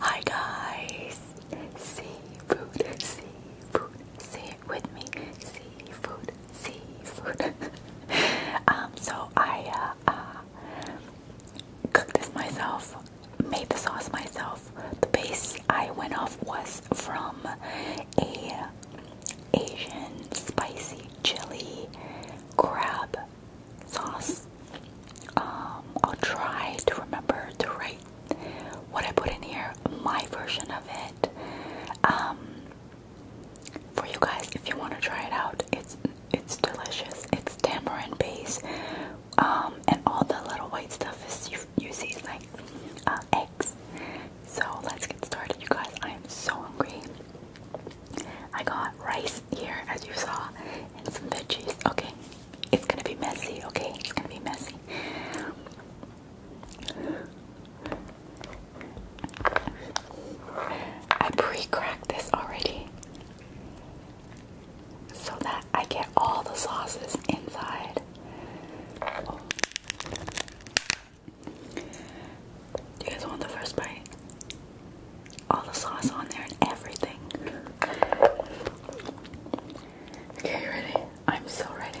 Hi guys, seafood, seafood, say it with me, seafood, seafood. um, so I uh, uh cooked this myself, made the sauce myself. The base I went off was from a Asian spicy chili crab sauce. Um, I'll try to remember to write what I put in here, my version of it. Um, for you guys if you want to try it out. It's it's delicious. It's tamarind base, um, and all the little white stuff is you, see like uh, eggs. So let's get started, you guys. I am so hungry. I got rice here, as you saw, and some veggies. Okay, it's gonna be messy. Okay, it's gonna be messy. I pre-cracked this already so that I get all the sauces inside. you guys want the first bite? All the sauce on there and everything. Okay, you ready? I'm so ready.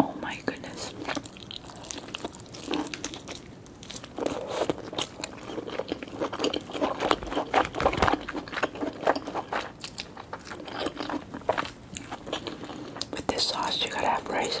Oh my goodness. With this sauce, you gotta have rice.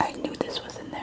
I knew this was in there.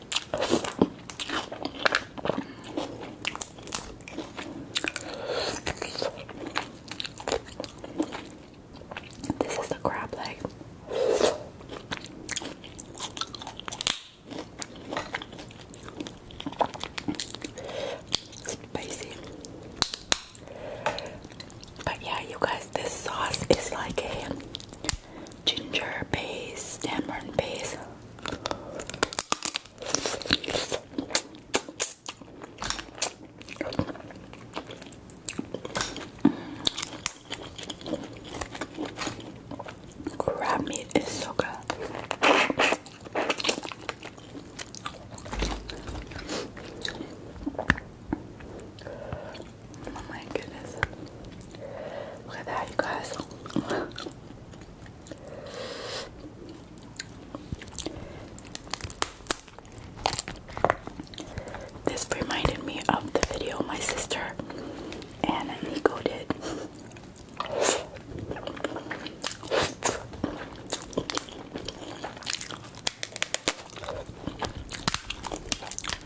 This is the crab leg. Spicy. But yeah, you guys, this sauce is like a ginger base, tamarind base. Crab meat is so good. Oh my goodness. Look at that, you guys. This reminded me of the video my sister and Nico did.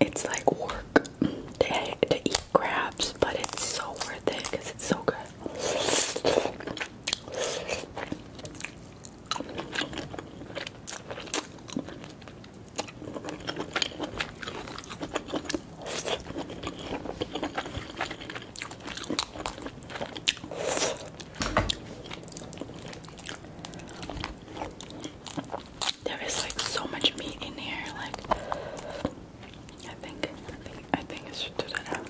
It's like work to, eat crabs, but it's so worth it because it's so good. There is like so much meat in here, like I think I think I think it should do that now.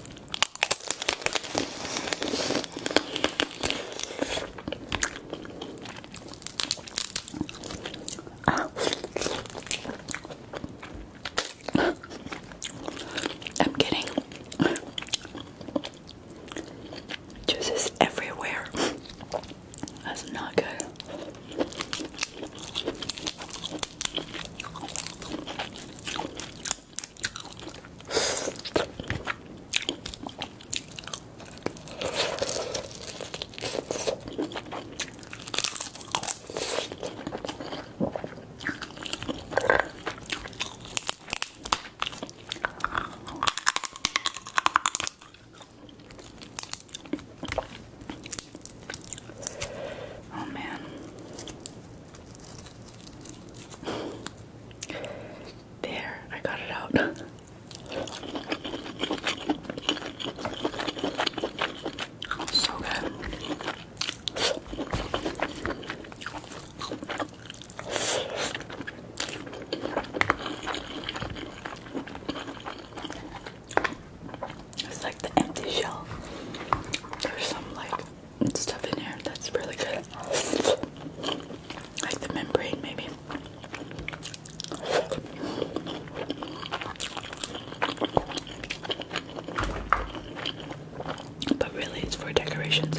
I'm getting Juices everywhere. That's not good. Oh man. There, I got it out. so good. It's like the empty shell. There's some like stuff in here that's really good. Like the membrane maybe. But really it's for decorations.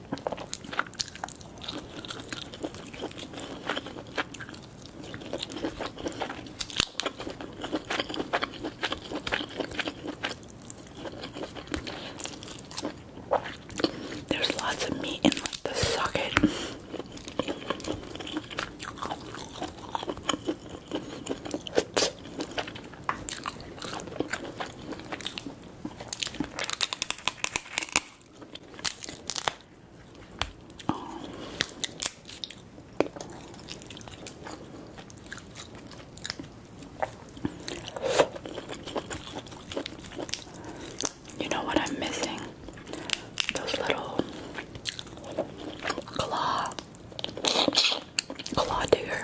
There's lots of meat in like the socket. Oh. You know what I'm missing? Those little claw, claw digger.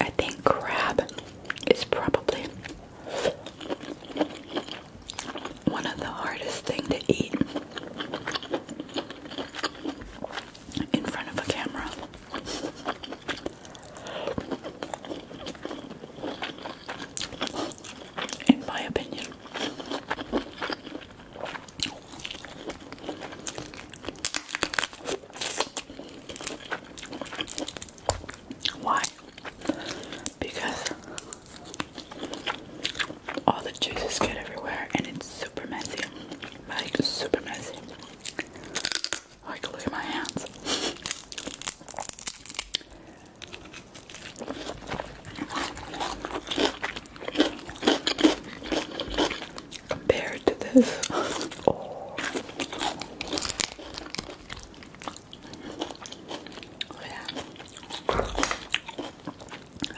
I think crab is probably one of the hardest thing to eat in front of a camera in my opinion. Why? Because all the juices get everywhere and it's super messy. Like, super messy. Like, look at my hands compared to this. Oh. Oh,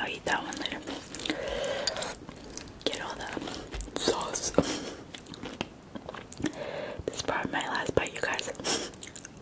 I'll eat that one later. Get all the sauce. This is my last bite, you guys.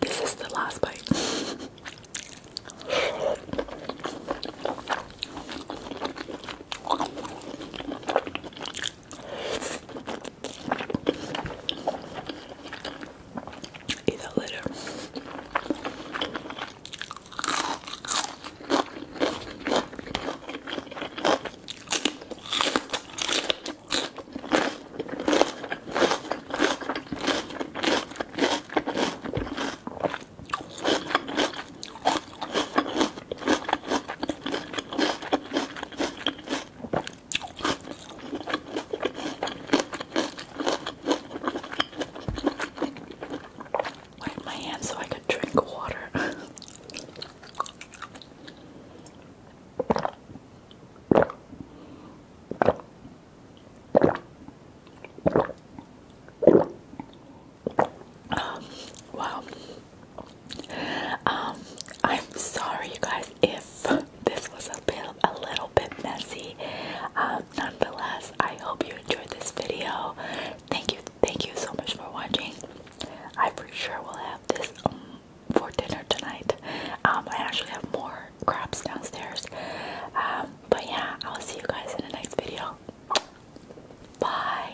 This is the last bite eat that later. Wipe my hands so I could drink water. Um, wow. Um, I'm sorry, you guys, if this was a little bit messy. Um, nonetheless, I hope you enjoyed this video. Thank you, thank you so much for watching. I for sure will have this um, for dinner tonight. Um, I actually have more crabs downstairs. but yeah, I'll see you guys in the next video. Bye.